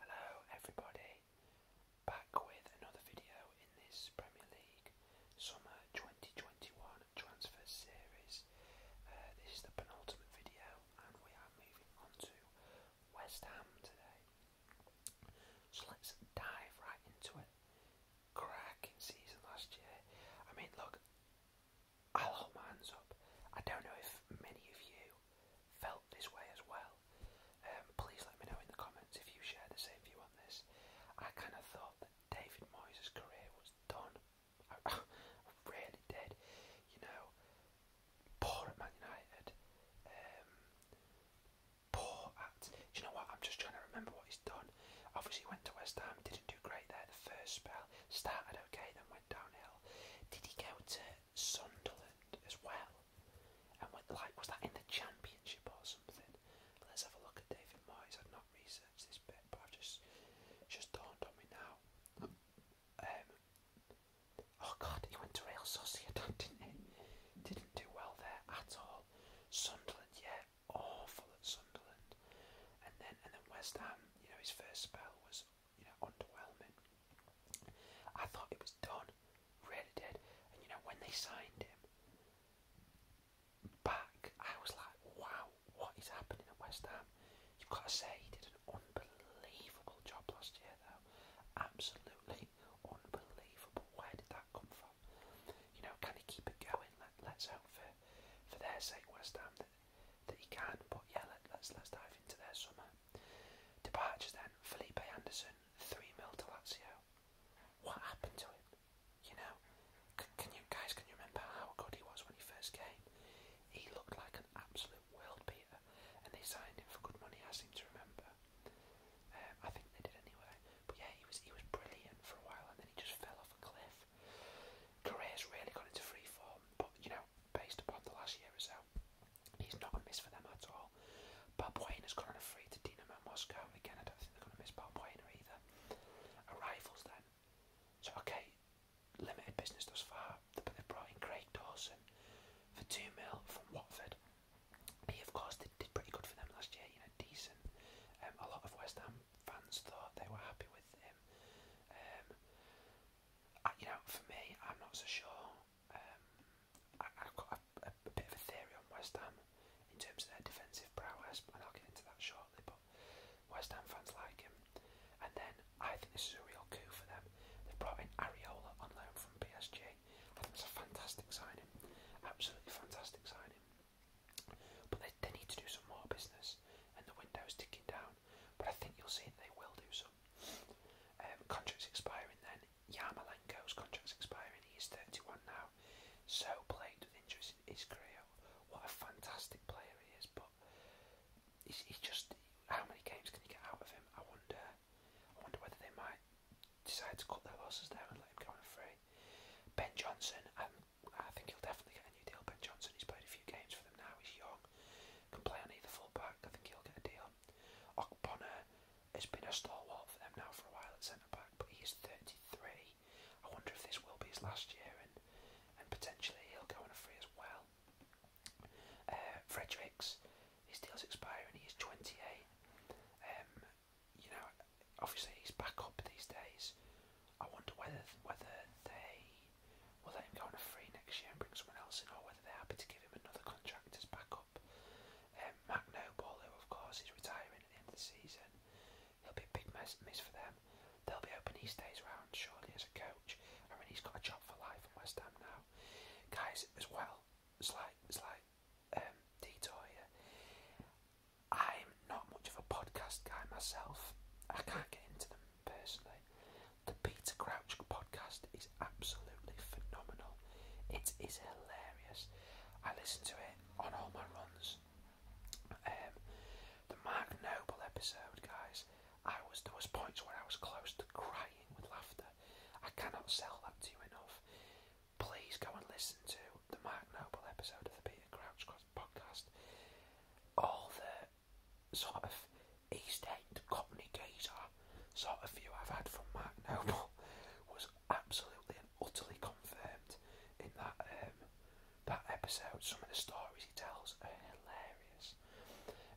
Hello everybody, back with another video in this Premier League Summer 2021 Transfer Series. Uh, this is the penultimate video and we are moving on to West Ham today. So let's dive right into it. Cracking season last year. I mean look, I'll hold my hands up. I don't know if many of you felt this way as well. Um, please let me know in the comments if you share the same view on this. I kind of thought that David Moyes' career was done. I, I really did. You know, poor at Man United. Um, poor at. Do you know what? I'm just trying to remember what he's done. Obviously, he went to West Ham, didn't do great there the first spell. Started okay, then went downhill. Did he go to Sunderland as well. And went, like, was that in the championship or something? Let's have a look at David Moyes. I've not researched this bit, but I've just just dawned on me now. Um, oh God, he went Real Sociedad, didn't he? Didn't do well there at all. Sunderland, yeah, awful at Sunderland. And then and then West Ham. You know, his first spell was you know, underwhelming. I thought it was done, really did. And you know, when they signed him back, I was like, wow, what is happening at West Ham? You've got to say he did an unbelievable job last year, though. Absolutely unbelievable. Where did that come from? You know, can he keep it going? Let, let's hope for, for their sake, West Ham, that he can. But yeah, let, us let's dive into their summer departures then. Felipe Anderson, three mil to Lazio. What happened to him? You know, can you guys can you remember how good he was when he first came? He looked like an absolute world beater, and they signed him for good money. I seem to remember. Um, I think they did anyway. But yeah, he was he was brilliant for a while, and then he just fell off a cliff. Career's really gone into free form, but you know, based upon the last year or so, he's not gonna miss for them at all. Wayne is currently free to Dinamo Moscow. Again, I don't think they're going to miss Wayne either. Arrivals then. So, okay, limited business thus far, but they brought in Craig Dawson for 2 mil from Watford. He, of course, did, did pretty good for them last year, you know, decent. Um, a lot of West Ham fans thought they were happy with him. Um, I, you know, for me, I'm not so sure. Um, I, I've got a, a, a bit of a theory on West Ham in terms of their defensive prowess, and I'll get into that shortly. But West Ham fans like him, and then I think this is a real coup for them. They brought in Ariola on loan from PSG. I think it's a fantastic signing, absolutely fantastic signing. But they, they need to do some more business, and the window's ticking down. But I think you'll see that they will do so um, contract's expiring then. Yarmolenko's contract's expiring. He 31 now. So plagued with injuries in his What a fantastic player he is, but he's, just. How many games can you get out of him? I wonder. I wonder whether they might decide to cut their losses there and let him go on free. Ben Johnson, um, I think he'll definitely get a new deal. Ben Johnson, he's played a few games for them now. He's young. Can play on either full back. I think he'll get a deal. Okbona has been a stalwart for them now for a while at centre back, but he is 33. I wonder if this will be his last year, and and potentially he'll go on a free as well. Uh, Fredericks, his deal's expiring. He is 28. Um, you know, obviously he's back up these days. I wonder whether whether they will let him go on a free next year and bring someone else in, or whether they're happy to give him another contract as backup. Um, Mac Noble, who of course is retiring at the end of the season, he'll be a big mess, miss for them. They'll be hoping he stays around surely as a coach. I mean, he's got a job for life in West Ham now. Guys, as well, slight, slight um, detour here. I'm not much of a podcast guy myself. I can't get into them personally. The Peter Crouch podcast is absolutely phenomenal. It is hilarious. I listen to it on all my runs. Um, the Mark Noble episode, guys. I was there was points where I was close to crying with laughter. I cannot sell that to you enough. Please go and listen to the Mark Noble episode of the Peter Crouch podcast. All the sort of East End Cockney sort of view I've had from Mark Noble was absolutely and utterly confirmed in that um, that episode. Some of the stories he tells are hilarious.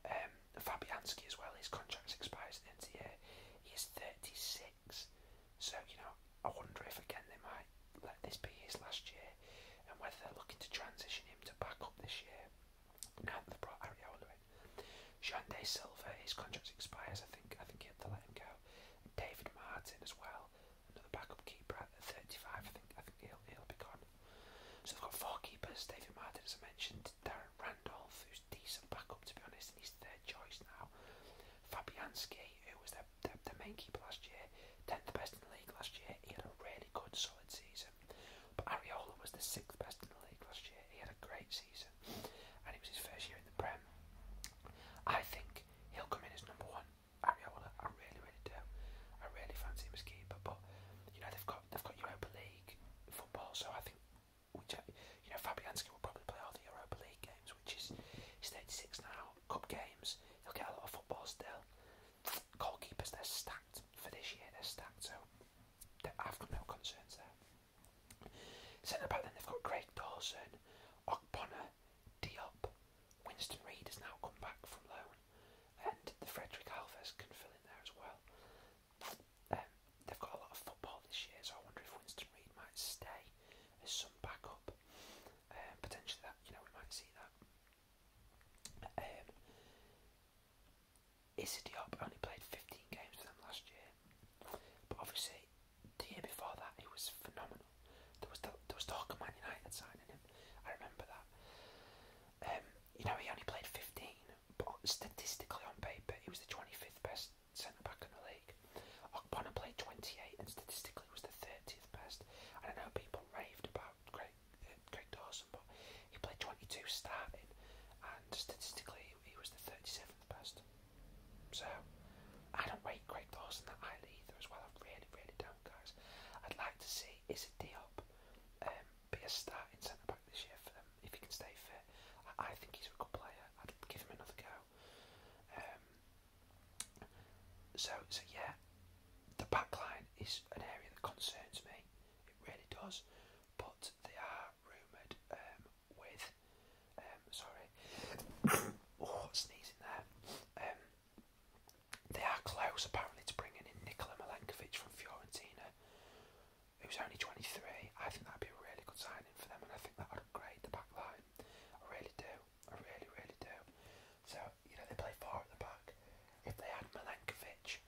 Um, Fabianski as well. His contract expires at the end of the year. He's thirty six, so you know I wonder if again they might let this be his last year and whether they're looking to transition him to back up this year. Now they've brought Ariola in. Jande Silva, his contract expires, I think I think you have to let him go. David Martin as well, another backup keeper at thirty five, I think I think he'll he'll be gone. So they've got four keepers, David Martin as I mentioned, Darren Randolph, who's decent backup to be honest, and he's third choice now. Fabianski, who was their, their main keeper last year, tenth best in the league last year. He had a really good, solid season. But Ariola was the sixth best in the league last year. He had a great season, and it was his first year in the Prem. I think he'll come in as number one. Ariola, I really, really do. I really fancy him as keeper, but you know they've got they've got Europa League football, so I think which you know Fabianski will probably play all the Europa League games, which is he's 36 now. Cup games, he'll get a lot of football still. Goalkeepers, they're stacked for this year, they're stacked, so I've got no concerns there. Centre back, then they've got Craig Dawson, Ogbonna, Diop, Winston Reed has now come back from loan, and the Frederick Alves can fill in there as well. Um, they've got a lot of football this year, so I wonder if Winston Reed might stay as some backup. Um, potentially, that you know we might see that. Um, Issa only played 15 games for them last year, but obviously the year before that he was phenomenal. There was the, there was talk of Man United signing him. I remember that. Um, you know he only played 15, but statistically on paper he was the 25th best centre back in the league. Okpana played 28 and statistically was the 30th best. I don't know people raved about about Craig, uh, Craig Dawson, but he played 22 starting, and statistically, he was the 37th best. So, I don't rate Craig Dawson that highly either, as well. I really, really don't, guys. I'd like to see Izzy Diop um, be a starting centre back this year for them if he can stay fit. I, I think he's a good player. I'd give him another go. Um, so, so yeah, the backline is an area that concerns me. It really does. But they are rumoured um, with, um, sorry, oh, sneezing there. Um, they are close apparently to bringing in Nikola Milenkovic from Fiorentina, was only 23. I think that'd be a really good signing for them, and I think that would upgrade the back line. I really do. I really, really do. So you know, they play four at the back. If they had Milankovic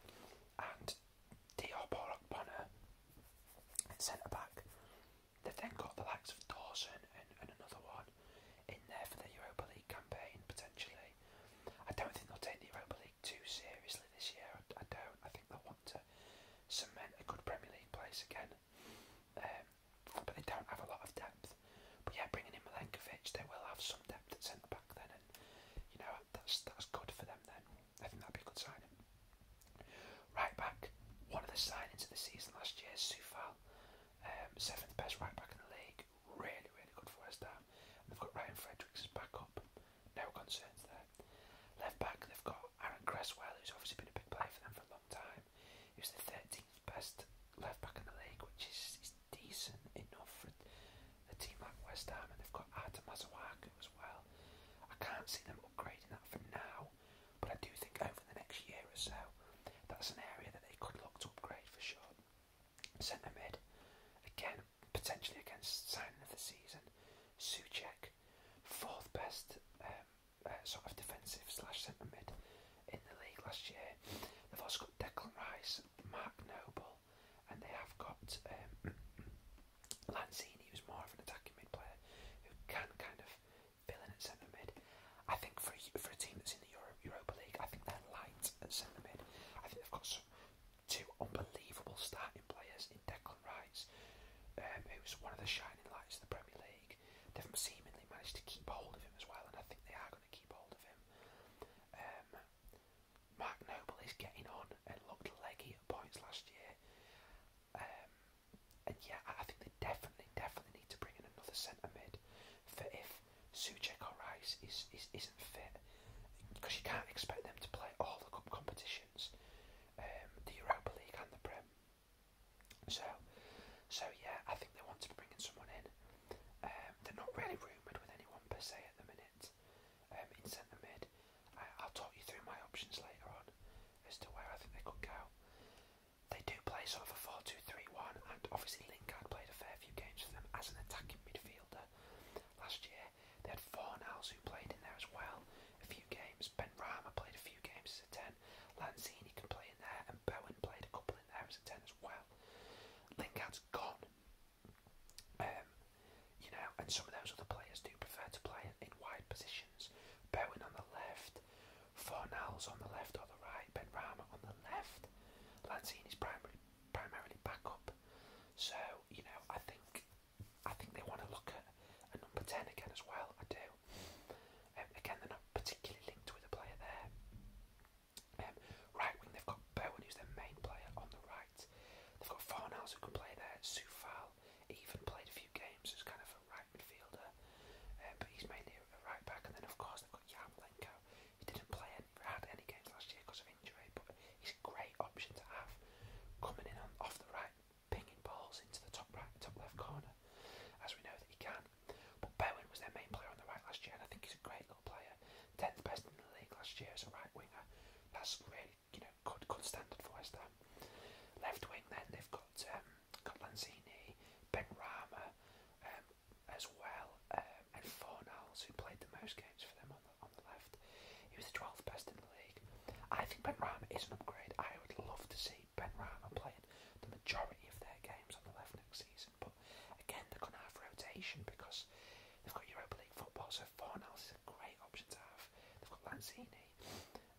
and Diop or Bonner at centre back, they've then got the likes of Dawson and, another one in there for the Europa League campaign potentially. I don't think they'll take the Europa League too seriously this year. I, don't. I think they'll want to cement a good Premier League place again. Um, but they don't have a lot of depth. But yeah, bringing in Milenkovic, they will have some depth at centre back then, and you know that's that's good for them then. I think that'd be a good signing. Right back, one of the signings of the season last year, Soufal, um, seventh best right back in the league. Really, really good for us. Down. they've got Ryan Fredericks as backup. No concerns there. Left back, they've got Aaron Cresswell, who's obviously been a big player for them for a long time time. He was the 13th best left back in the league, which is, decent enough for a team like West Ham, and they've got Artem Mazawaka as well. I can't see them upgrading that from now, but I do think over the next year or so, that's an area that they could look to upgrade for sure. Centre mid, again, potentially against signing of the season. Suchek, fourth best um, uh, sort of defensive slash centre mid in the league last year. They've also got Declan Rice, Mark Noble, and they have got um, Lanzini, who's more of an attacking mid player who can kind of fill in at centre mid. I think for a, for a team that's in the Europa League, I think they're light at centre mid. I think they've got two unbelievable starting players in Declan Rice, um, who's one of the shining lights of the Premier League, they've seemingly managed to keep hold of him as well, and I think they are going to keep hold of him. Um, Mark Noble is getting on and looked leggy at points last year. Um, and yeah, I think they definitely, definitely need to bring in another centre mid for if Suchek or Rice is, is, isn't fit. Because you can't expect them to play all the cup competitions, um, the Europa League and the Prem. So, so yeah, I think they wanted to bring in someone in. Um, they're not really rumoured with anyone per se at the minute um, in centre mid. I, I'll talk you through my options later on as to where I think they could go. They do play sort of a 4 2 3 1, and obviously Lingard played a fair few games for them as an attacking midfielder last year. They had Fornals who played in there as well a few games. Ben Rama played a few games as a 10. Lanzini can play in there, and Bowen played a couple Chamberlain there as a 10 as well. Lingard's gone. Um, you know, and some of those other players do prefer to play in wide positions. Bowen on the left, Fornals on the left or the right, Ben Rama on the left. Lanzini's primary, primarily back up. So, you know, I think I think they want to look at a number 10 again as well. I do. Um, again, they're not particularly linked with a player there. Um, right wing, they've got Bowen, who's their main player on the right. They've got Fornals, who can play there. Soufal even played a few games as kind of a right midfielder, um, but he's mainly a right back. And then, of course, they've got Yarmolenko. He didn't play any, had any games last year because of injury, but he's a great option to have coming in on, off the right, pinging balls into the top right, top left corner, as we know that he can back. But Bowen was their main player on the right last year, and I think he's a great little player. Tenth best in the league last year as a right winger. That's really, you know, good, good standard for West Ham. Left wing, then they've got um, got Lanzini, Ben Rama, um, as well, um, and Fornals, who played the most games for them on the on the left. He was the twelfth best in the league. I think Ben Rama is an upgrade. I would love to see Ben Rama playing the majority of their games on the left next season. But again, they're going to have rotation because they've got Europa League football, so Fornals is a great option to have. They've got Lanzini.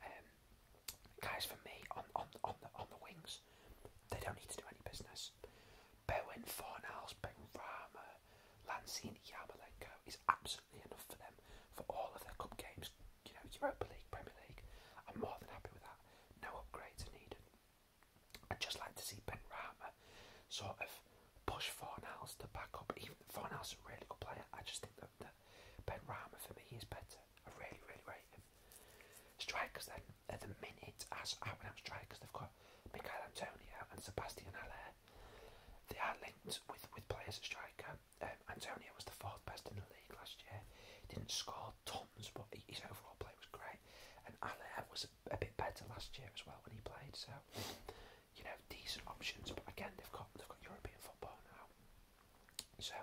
Um, guys, for me, on, on, on, the, on the wings, they don't need to do any business. Bowen, Fornals, Ben Rama, Lanzini, Yarmolenko is absolutely enough for them for all of their cup games. You know, Europa League, Premier League. I'm more than happy with that. No upgrades needed. I'd just like to see Ben Rama sort of push Fornals to back up. Even Fornals is a really good player. I just think that, that Ben Rama for me is better. I really, really rate him. Strikers then at the minute as out and out strikers they've got Mikael Antonio and Sebastian Allaire. They are linked with, with players at striker. Uh, Antonio was the fourth best in the league last year. Didn't score tons, but his overall play was great. And Allaire was a, a bit better last year as well when he played. So you know, decent options. But again, they've got they've got European football now. So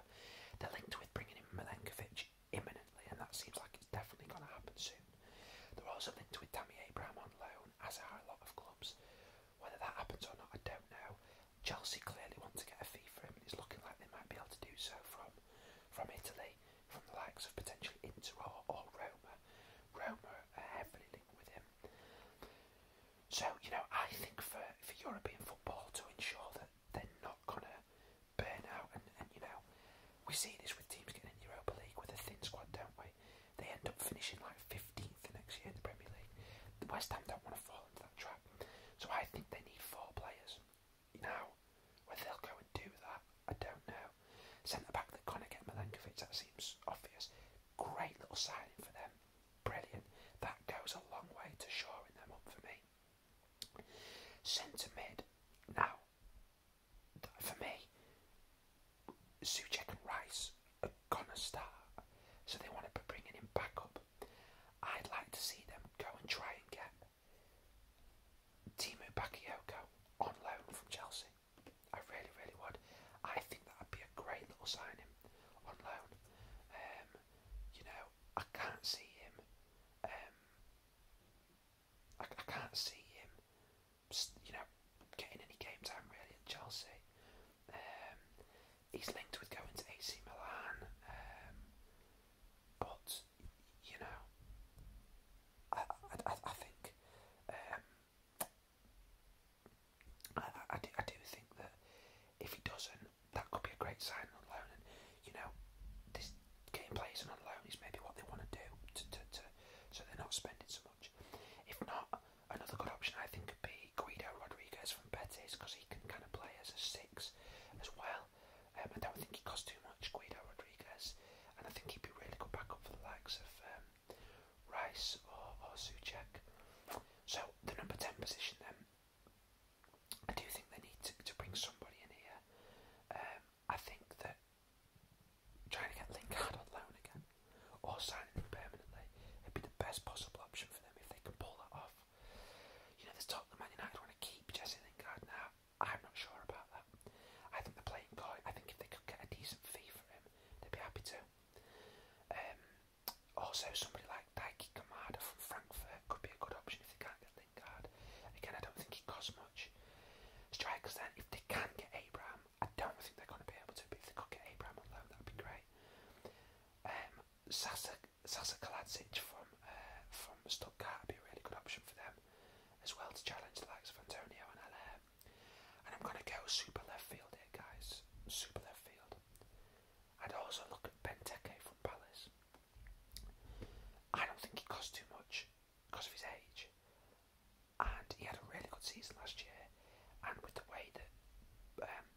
they're linked with bringing in Milenkovic imminently, and that seems like it's definitely going to happen soon. They're also linked with Tammy Abraham on loan, as are a lot of clubs. Whether that happens or not, I don't know. Chelsea clearly want to get a fee for him, and it's looking like they might be able to do so from from Italy, from the likes of potentially Inter or, Roma. Roma are heavily linked with him. So, you know, I think for, for European football to ensure that they're not going to burn out, and, and, you know, we see this with teams getting in the Europa League with a thin squad, don't we? They end up finishing like 15th the next year in the Premier League. The West Ham don't want to fall into that trap. So I think they need four players. Now, whether they'll go and do that, I don't know. Centre back, they're going to get Milankovic, that seems obvious. Great little signing for them. Brilliant. That goes a long way to shoring them up for me. Centre mid, now, for me, Suchek and Rice are going to start, so they want to be bringing him back up. I'd like to see them go and try and get Timu Bakayoko on loan from Chelsea. I really, really would. I think that would be a great little signing on loan. Um, you know, I can't see him. Um, I, can't see him. You know, getting any game time really in Chelsea. Um, he's linked with going to AC Milan, um, but you know, I I, I think um, I, I, do, I do think that if he doesn't, that could be a great sign on loan. And you know, this getting players on loan is maybe what they want to do to, to, to so they're not spending so much. If not, another good option I think could be Guido Rodriguez from Betis because he because he can kind of play as a six as well. Um, I don't think he costs too much, Guido Rodriguez, and I think he'd be really good backup for the likes of um, Rice or, or Suchek. So the number ten position then. I do think they need to, to bring somebody in here. Um, I think that trying to get Lingard on loan again or signing him permanently would be the best possible option for them if they can pull that off. You know, there's talk that Man United want to keep Jesse Lingard now. I'm not sure about that. I think they're playing coy. I think if they could get a decent fee for him, they'd be happy to. Um, also, somebody like Daiki Kamada from Frankfurt could be a good option if they can't get Lingard. Again, I don't think it costs much. Strikers then, if they can not get Abram, I don't think they're going to be able to, if they could get Abram on loan, that would be great. Um, Sasak Kalasic from uh, from Stuttgart would be a really good option for them as well to challenge the likes of Antonio and Allaire. And I'm going to go super left field here, guys. Super left field. I'd also look at Benteke from Palace. I don't think he costs too much because of his age. And he had a really good season last year. And with the way that um,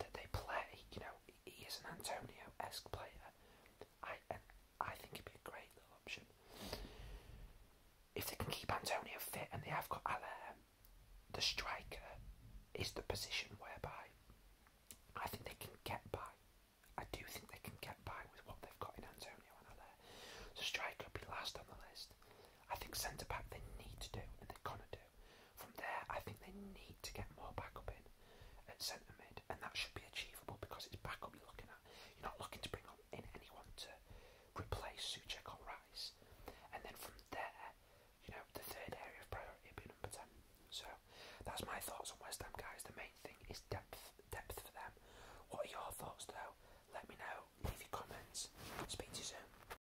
that they play. You know, he is an Antonio-esque player. I and I think it'd be a great little option if they can keep Antonio fit, and they have got Alain. The striker is the position whereby I think they can get by. I do think they can get by with what they've got in Antonio and Alain. So striker would be last on the list. I think centre back they need to do, and they're gonna do. From there, I think they need to get more backup in at centre mid, and that should be achievable because it's backup you're looking at. You're not looking to bring up in anyone to replace Suchek or Rice. And then from there, you know, the third area of priority would be number 10. So that's my thoughts on West Ham, guys. The main thing is depth, depth for them. What are your thoughts, though? Let me know. Leave your comments. Speak to you soon.